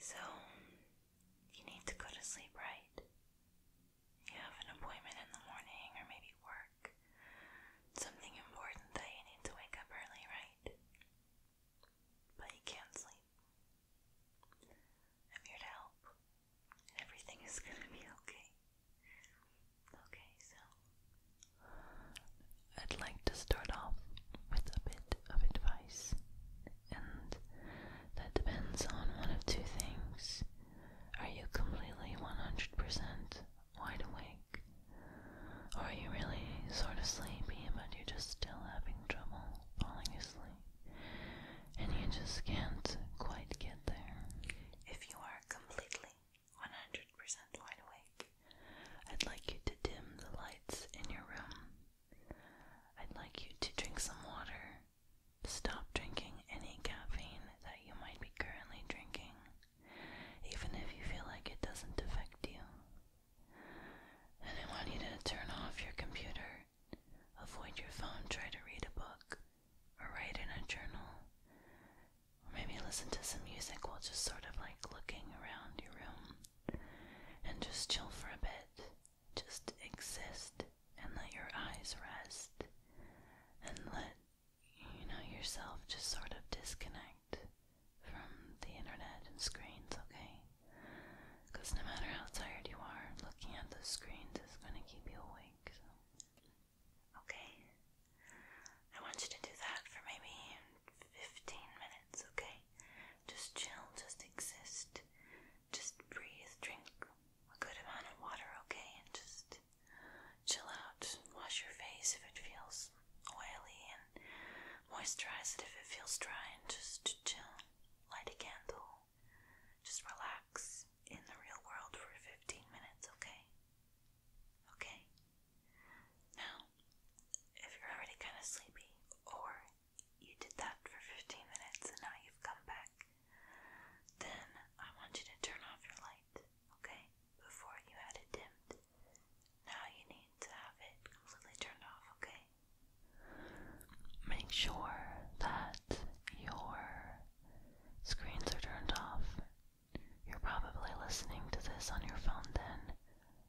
So, you need to go to sleep, right? You have an appointment in the morning or maybe work. Something important that you need to wake up early, right? But you can't sleep. I'm here to help. Everything is gonna be okay. Okay, so I'd like to start off with a bit of advice, and that depends on one of two things. Are you completely 100% wide awake? Or are you really sort of sleepy but you're just still having trouble falling asleep? and you just can't quite get there. If you are completely 100% wide awake, I'd like you to dim the lights in your room. I'd like you to drink some water. Stop drinking any caffeine that you might be currently drinking, even if you feel like it doesn't affect you. And I want you to turn off your computer Avoid your phone, try to read a book, or write in a journal, or maybe listen to some music while just sort of like looking around your room and just chill for a bit. Just exist and let your eyes rest and let you know yourself just sort of disconnect from the internet and screens, okay? Because no matter how tired you are, looking at those screens is going to keep you awake. Okay. I want you to do that for maybe 15 minutes, okay? Just chill, just exist, just breathe, drink a good amount of water, okay? And just chill out, wash your face if it feels oily, and moisturize it if it feels dry, and just chill. Light a candle, just relax in the real world for 15 minutes, okay? Okay? Now, if you're already kind of sleepy, or you did that for 15 minutes and now you've come back, then I want you to turn off your light, okay? Before you had it dimmed. Now you need to have it completely turned off, okay? Make sure that your screens are turned off. You're probably listening to this on your phone then,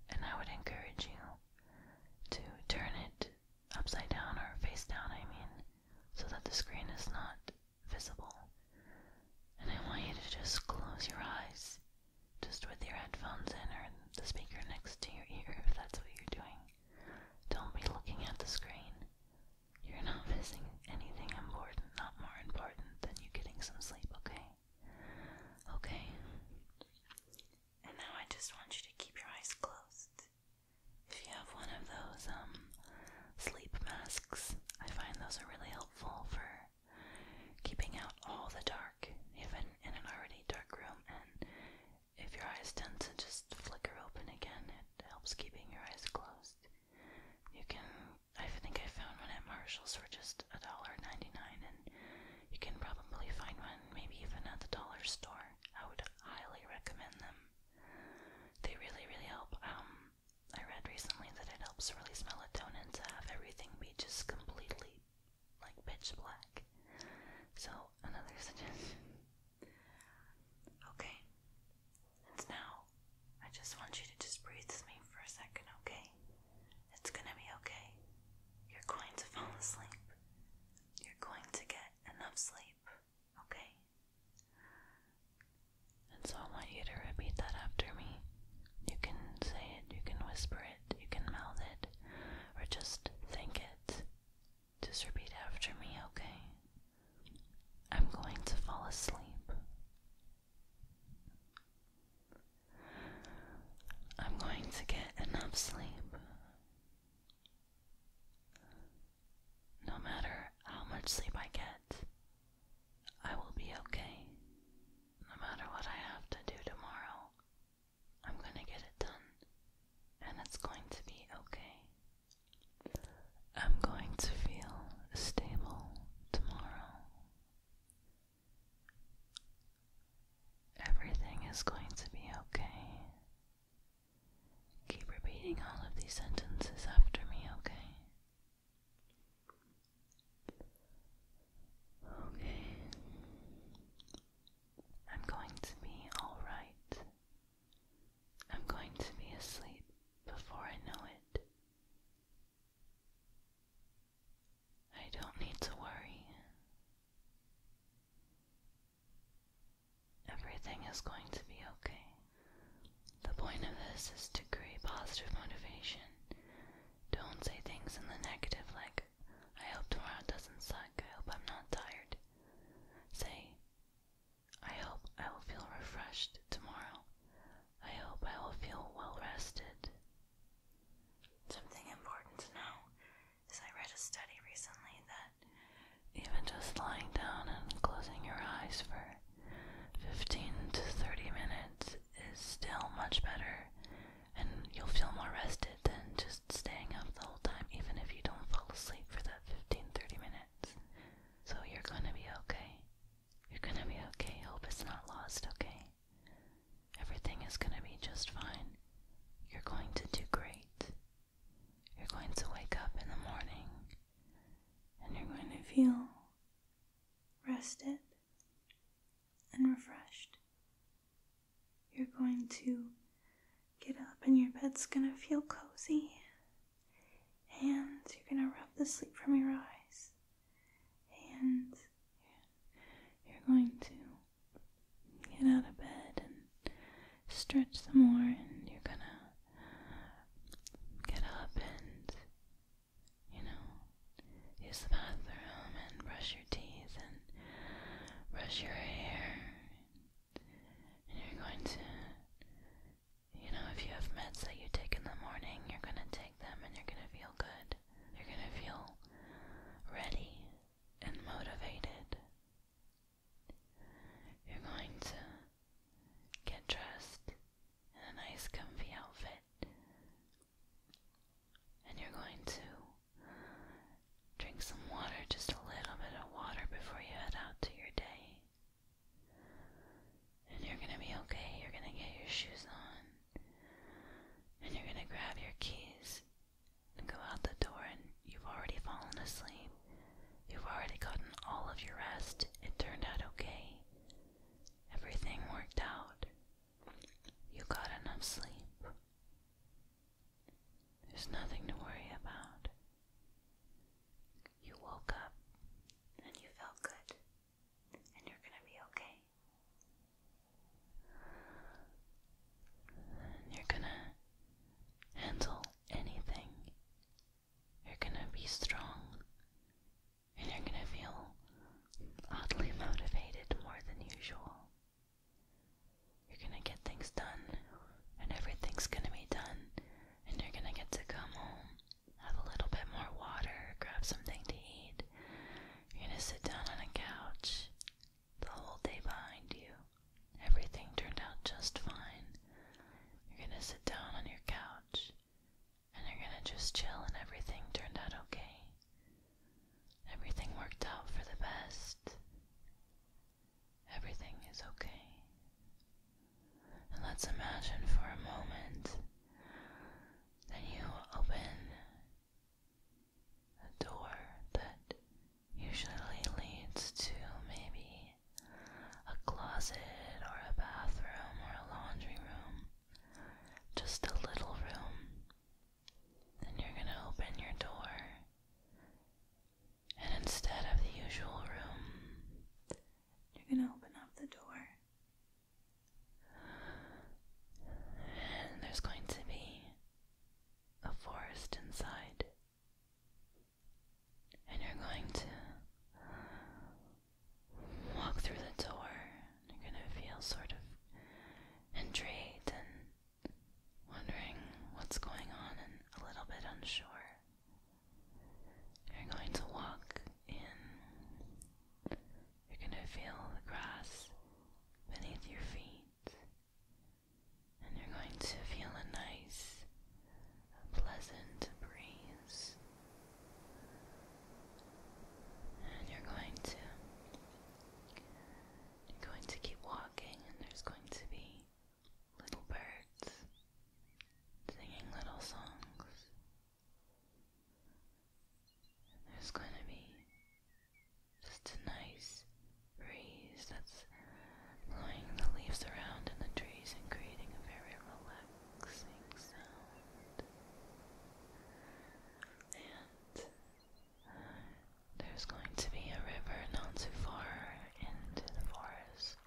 and I would encourage you to turn it upside down or face down, I mean, so that the screen is not visible. And I want you to just close your eyes, just with your headphones in or the speaker next to your ear, if that's what you're doing. Don't be looking at the screen. You're not missing anything important, not more important than you getting some sleep, okay? Okay. And now I just want you to keep your eyes closed. If you have one of those, um, sleep masks, I find those are really helpful for keeping out all the dark, even in an already dark room, if your eyes tend to just flicker open again, it helps keeping your eyes closed. You can, I think I found one at Marshall's for just $1.99, and you can probably find one maybe even at the dollar store. I would highly recommend them. They really, really help. Um, I read recently that it helps release melatonin to have everything be just completely like pitch black. So, another suggestion. Okay. And now I just want you to just breathe with me for a second, okay? It's gonna be okay. You're going to fall asleep. You're going to get enough sleep, okay? And so I want you to repeat that after me. You can say it, you can whisper it, you can mouth it, or just think it. Just repeat after me, okay? I'm going to fall asleep. I'm going to get enough sleep. No matter how much sleep I get, I will be okay. No matter what I have to do tomorrow, I'm gonna get it done, and it's going to be okay. I'm going to feel stable tomorrow. Everything is going to be okay. Keep repeating all of these sentences after me, okay? Okay. I'm going to be alright. I'm going to be asleep before I know it. I don't need to worry. Everything is going to be okay. The point of this is to create positive motivation. Don't say things in the negative like, I hope tomorrow doesn't suck. I hope I'm not tired. Say, I hope I will feel refreshed tomorrow. I hope I will feel well rested. Something important to know is I read a study recently that even just lying down and closing your eyes for 15 to 30 minutes is still much better and you'll feel more rested than just staying up the whole time, even if you don't fall asleep for that 15 30 minutes. So you're gonna be okay. You're gonna be okay. Hope it's not lost, okay? Everything is gonna be just fine. You're going to do great. You're going to wake up in the morning and you're going to feel rested and refreshed. You're going to get up and your bed's gonna feel cozy. And you're gonna rub the sleep from your eyes. And you're going to get out of bed and stretch some more and you're gonna get up and you know use the bathroom and brush your teeth and brush your hair you're going to, you know, if you have meds that you take in the morning, you're going to take them and you're going to feel good. You're going to feel ready and motivated. You're going to get dressed in a nice comfy outfit. And you're going to Drink some water, just a little bit of water before you head out to your day. And you're gonna be okay. You're gonna get your shoes on. And you're gonna grab your keys and go out the door, and you've already fallen asleep. You've already gotten all of your rest. It turned out okay. Everything worked out. You got enough sleep. There's nothing to worry about. You woke up and you felt good, and you're going to be okay. you're going to handle anything. You're going to be strong, and you're going to feel oddly motivated more than usual. You're gonna get things done, and everything's gonna be done, and you're gonna get to come home, have a little bit more water, grab something to eat. You're gonna sit down on a couch, the whole day behind you. Everything turned out just fine. You're gonna sit down on your couch, and you're gonna just chill, and everything turned out okay. Everything worked out for the best. Everything is okay. And let's imagine for a moment that you open a door that usually leads to maybe a closet or a bathroom or a laundry room. Just a little room and you're going to open your door. And instead of the usual room, you're going to open up the door. And there's going to be a forest inside. And you're going to walk through the door. You're going to feel sort of intrigued and wondering what's going on and a little bit unsure. You're going to walk in. You're going to feel the grass beneath your feet. And you're going to feel a nice, pleasant breeze. And you're going to you're going to keep walking, and there's going to be little birds singing little songs. And there's going to be just a nice breeze that's blowing the leaves around in the trees and creating a very relaxing sound. And there's going to be a river not too far into the forest,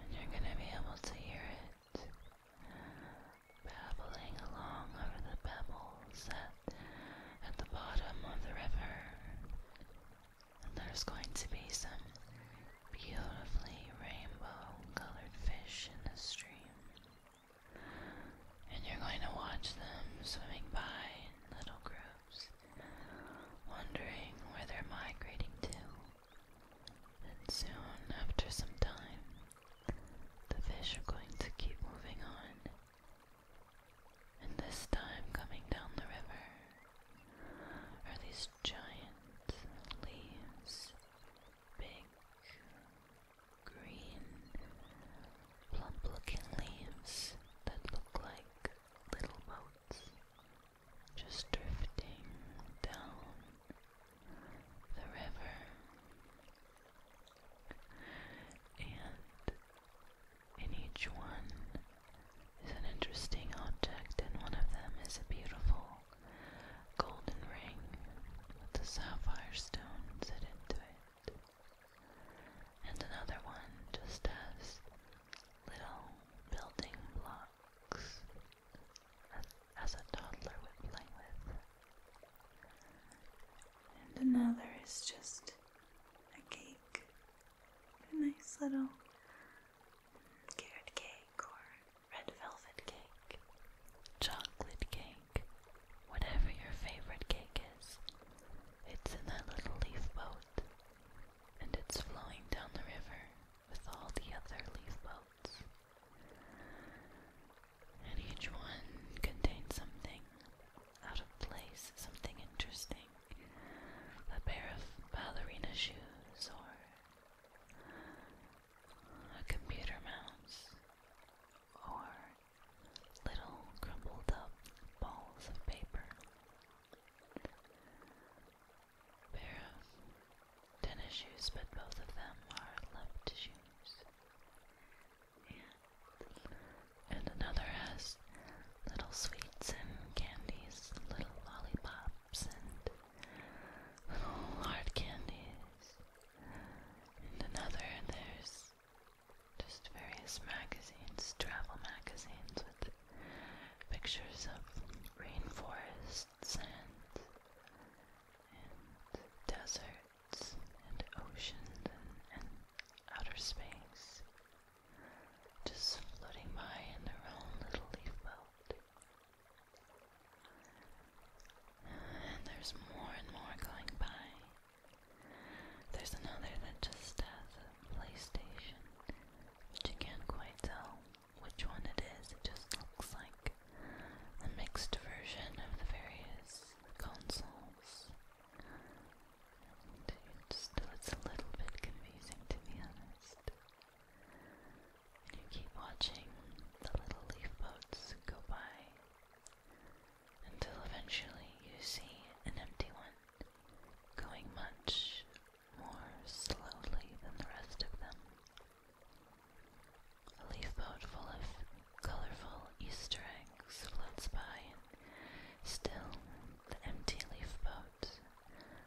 and you're going to be able to hear it babbling along over the pebbles at, at the bottom of the river. And there's going to be some beautifully rainbow colored fish in the stream and you're going to watch them swimming by in little groups, wondering where they're migrating to. And soon, after some time, the fish are going to keep moving on, and this time coming down the river are these giant leaves, big, green, plump looking leaves that look like little boats just drifting down the river. And in each one is an interesting object, and one of them is a beautiful golden ring with a sapphire stone set into it and another one just as little building blocks as a toddler would play with. And another is just a cake, a nice little carrot cake or red velvet cake chocolate cake, whatever your favorite cake is. It's in that little leaf boat, and it's flowing down the river with all the other leaf boats. And each one contains something out of place, something interesting. A pair of ballerina shoes or a computer mouse or little crumpled up balls of paper. Pair of tennis shoes, but both of them are left shoes. And, another has little sweets and candies, little lollipops and hard candies and another there's just various magazines, travel magazines with pictures of rainforests and deserts and oceans and, and outer space just floating by in their own little leaf belt. And there's more and more going by. There's another that just has a PlayStation, which you can't quite tell which one it is. It just looks like a mixed version of the various consoles. And still, it's a little bit confusing to be honest. And you keep watching the little leaf boats go by until eventually you see an empty one going much more slowly than the rest of them. A leaf boat full of colorful Easter eggs floats by, and still the empty leaf boat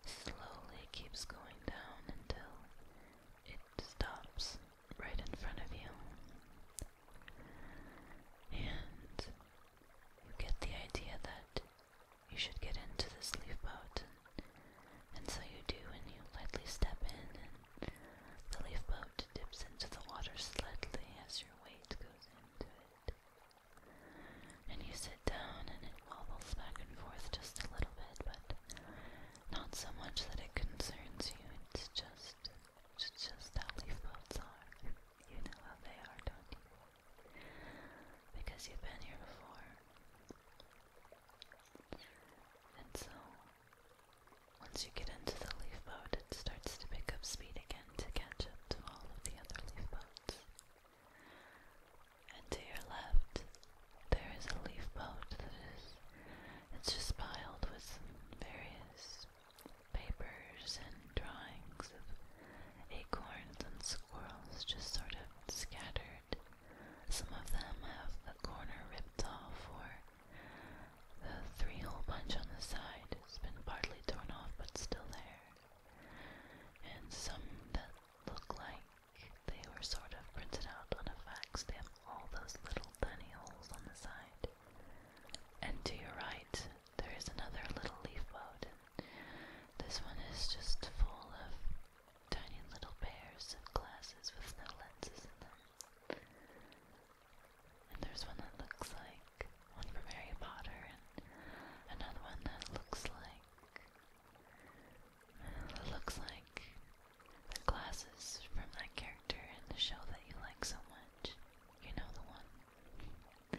slowly keeps going down until it stops right in front of you. And you get the idea that you should get into this leaf boat. And so you do, and you lightly step in, and the leaf boat dips into the water slightly as your weight goes into it. And you sit down, and it wobbles back and forth just a little bit, but not so much that it concerns you, it's just it's just how leaf boats are. You know how they are, don't you? Because you've been here before. And so once you get into the leaf boat, it starts to pick up speed again to catch up to all of the other leaf boats. And to your left, there is a leaf boat that is it's just piled with various papers and drawings of acorns and squirrels just sort of scattered. Some of them have the corner ripped off or the three hole punch on the side has been partly torn off but still there. And some that look like they were sort of printed out on a fax stamp all those little tiny holes on the side. And to your right, there is another little leaf boat. This one is just full of tiny little pairs of glasses with no lenses in them. And there's one that looks like one from Harry Potter, and another one that looks like. looks like the glasses from that character in the show that you like so much. You know the one.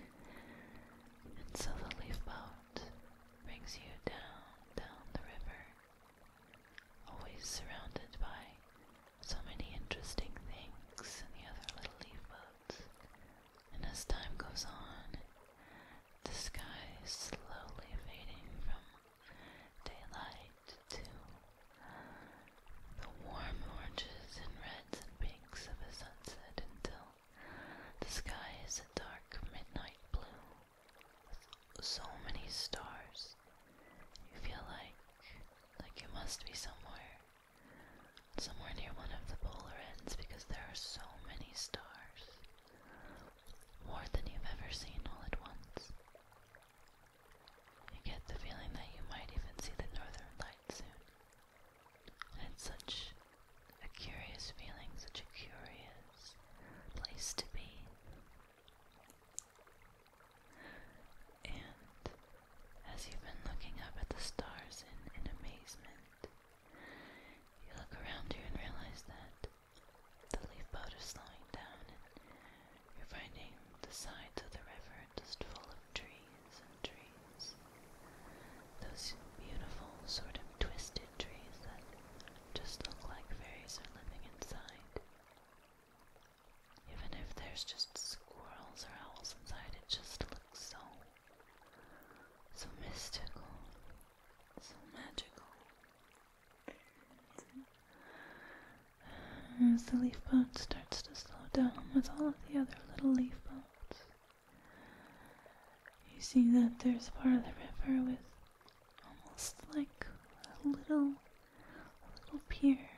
And so the leaf boat brings you down, down the river, always surrounded by so many interesting things and the other little leaf boats. And as time goes on, the sky slowly fading from daylight to the warm oranges and reds and pinks of a sunset until the sky is a dark midnight blue with so many stars. You feel like like you must be somewhere somewhere near one of the polar ends because there are so many stars. More than you've ever seen all at once. You get the feeling that you might even see the northern Lights soon. And such a curious feeling, such a curious place to be. And as you've been looking up at the stars in amazement, you look around you and realize that the leaf boat is slowing down, and you're finding the sides of the river just full of trees and trees. Those beautiful, sort of twisted trees that just look like fairies are living inside. Even if there's just squirrels or owls inside, it just looks so, so mystical, so magical. As the leaf boat starts to slow down with all of the other little leaf boats, you see that there's part of the river with almost like a little, little pier,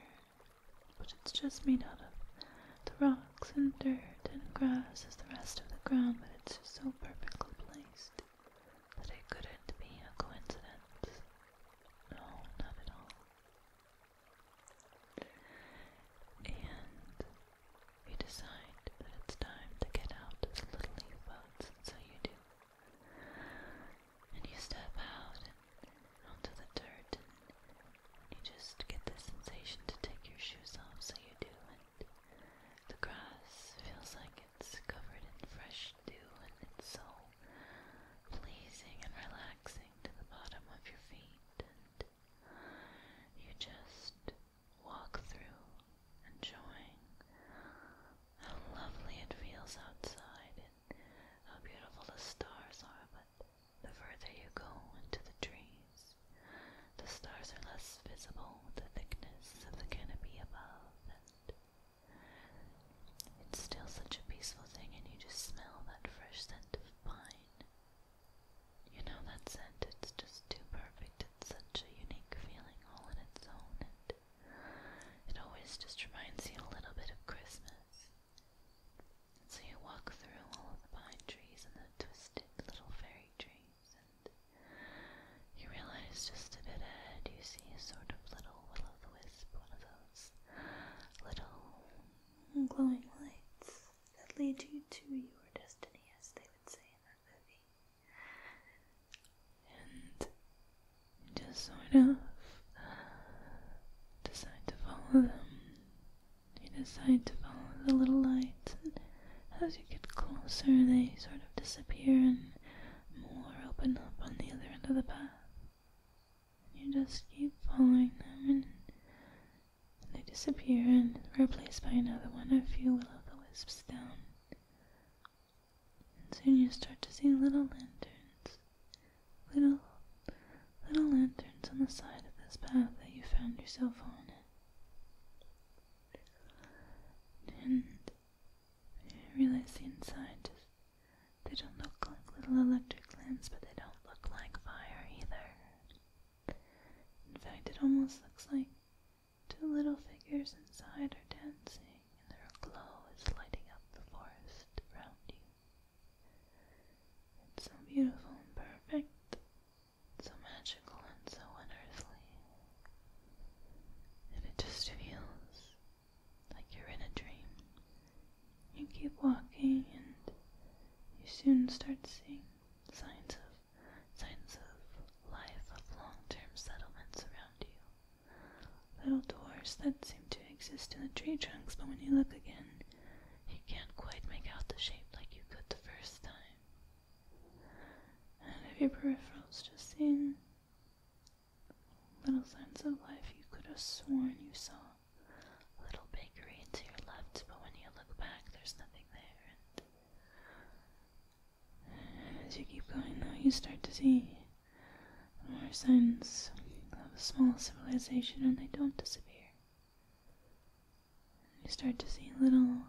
but it's just made out of the rocks and dirt and grass as the rest of the ground, but it's just so perfectly placed that it couldn't be a coincidence. No, not at all. And you decide that it's time to get out of little leaf boats, so you do. And you step out onto the dirt, and you just get the sensation to take your shoes off, so you do. And the grass feels like it's covered in fresh do, and it's so pleasing and relaxing to the bottom of your feet, and you just walk through, enjoying how lovely it feels outside and how beautiful the stars are, but the further you go into the trees, the stars are less visible with the thickness of the canopy above, and it's still such a peaceful thing, and you just smell that fresh scent of pine. You know that scent, it's just too perfect. It's such a unique feeling all in its own, and it always just reminds you a little bit of Christmas. So you walk through all of the pine trees and the twisted little fairy trees, and you realize just a bit ahead you see a sort of little will wisp one of those little glowing lights that lead you to your destiny, as they would say in that movie. And you just sort of decide to follow them. You decide to follow the little lights, and as you get closer, they sort of disappear, and more open up on the other end of the path. you just keep following them and they disappear and replaced by another one of few will of the wisps down. And soon you start to see little lanterns. Little little lanterns on the side of this path that you found yourself on. And I realize the inside just they don't look like little electric lamps, but they don't look like fire either. In fact, it almost looks like two little figures inside are dancing, and their glow is lighting up the forest around you. It's so beautiful and perfect, so magical and so unearthly and it just feels like you're in a dream. You keep walking and you soon start seeing signs of signs of life of long-term settlements around you. Little doors that seem to exist in the tree trunks, but when you look again, you can't quite make out the shape like you could the first time. And if your peripherals just seeing little signs of life, you could have sworn you saw a little bakery to your left, but when you look back, there's nothing there. And as you keep going, though, you start to see more signs of a small civilization, and they don't disappear. You start to see little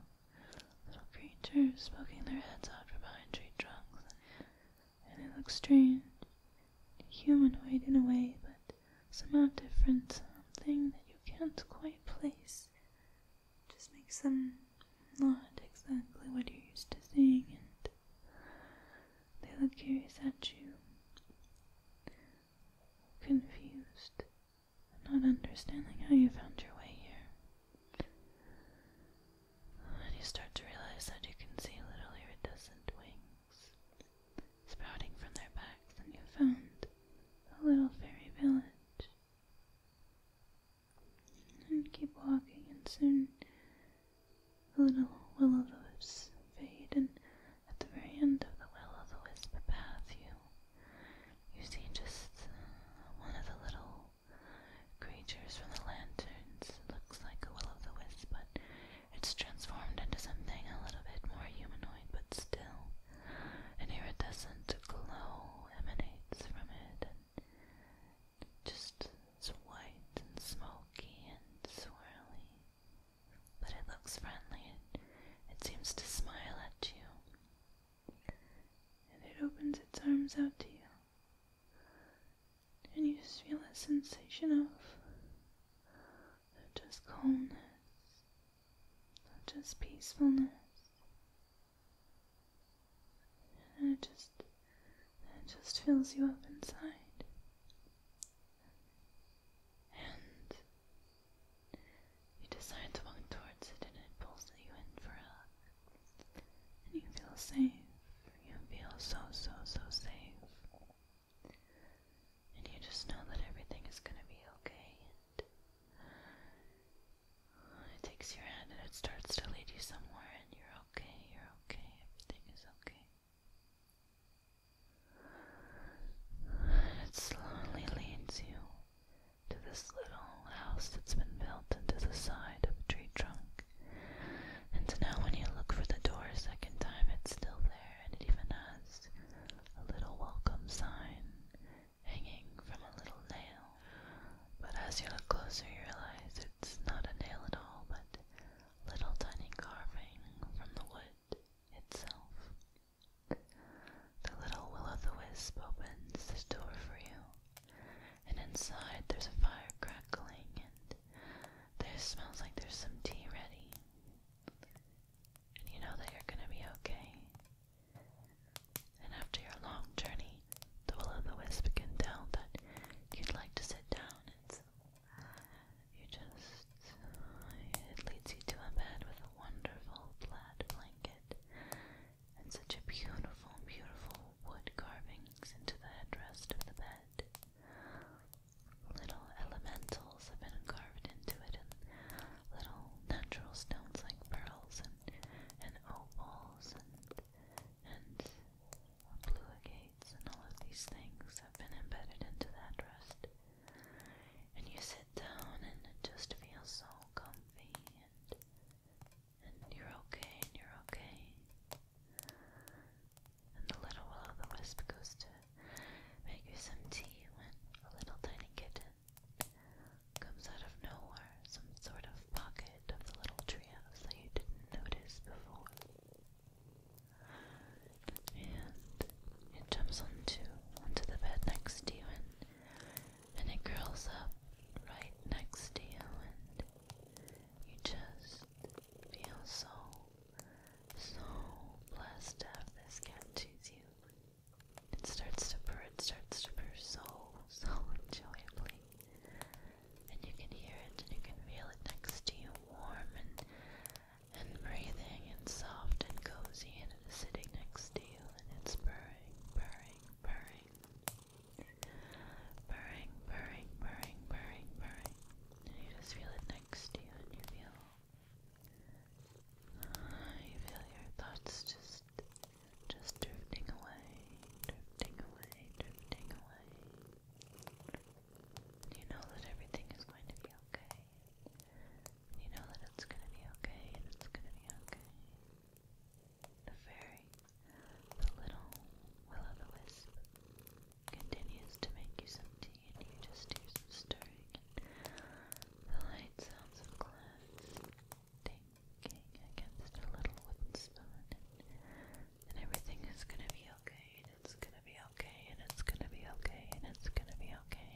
Little creatures poking their heads out from behind tree trunks, and they look strange. Humanoid in a way, but somehow different, something that you can't quite place. just makes them not exactly what you're used to seeing, and they look curious at you, confused, not understanding how you found your way here. And you start to realize that you can see little iridescent wings sprouting from their backs, and you found a little fairy village. And keep walking, and soon the little willow o' wisps fade, and at the very end of the willow o' the wisp path, you you see just one of the little creatures from the lanterns. looks like a will-o'-the-wisp, but it's transformed into something a little bit more humanoid, but still an iridescent glow emanates from it, and just white and smoky and swirly. But it looks friendly. It, it seems to smile at you and it opens its arms out to you. And you just feel that sensation of, just calmness, just peacefulness. And it just it just fills you up inside. And you decide to walk towards it and it pulls you in for a and you feel safe. You feel so, so, so safe. And you just know that everything is going to be okay. And it takes your hand and it starts to lead you somewhere, and you're okay, you're okay, everything is okay. It slowly leads you to this little house that's been built into the side of a tree trunk. And now when you look for the door a second time, it's still there, and it even has a little welcome sign hanging from a little nail. But as you look closer, you realize it's not a nail at all, but little tiny carving from the wood itself. The little will o' the wisp opens the door for you, and inside there's a fire crackling, and there smells like there's some tea ready. And you know that you're gonna be okay. And after your long journey, the will o' the wisp can tell that you'd like to sit down. and you just it leads you to a bed with a wonderful plaid blanket and such a beautiful, beautiful wood carvings into the headrest of the bed. Little elementals have been carved into it, and little natural stones like pearls and, and opals and, and blue agates and all of these things have been embedded into the headrest. And you sit down and it just feels so comfy and you're okay, and you're okay. And the little will o' the wisp goes to make you some tea when a little tiny kitten comes out of nowhere, some sort of pocket of the little treehouse that you didn't notice before. And it jumps onto onto the bed next to you and it curls up right next to you, and you just feel so, so blessed to have this cat choose you. It starts to purr, it starts to purr so, so joyfully, And you can hear it and you can feel it next to you, warm and and breathing and soft and cozy, and it is sitting next to you and it's purring purring, purring, purring. Purring, purring, purring, purring, purring. And you just feel it next to you and you feel ah, you feel your thoughts just just drifting away, drifting away, drifting away. You know that everything is going to be okay. You know that it's gonna be okay, and it's gonna be okay. The fairy, the little will o' continues to make you some tea, and you just hear some stirring. The light sounds of glass dinking against a little wooden spoon, and everything is gonna be okay, and it's gonna be okay, and it's gonna be okay, and it's gonna be okay.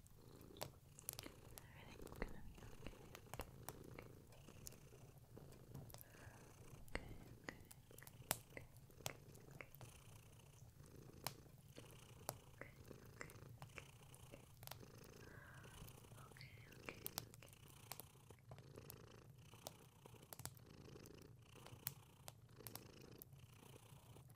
Everything's gonna be okay, okay, okay. Okay, okay, okay, okay, okay. Okay, okay, okay, okay. Okay, okay, okay.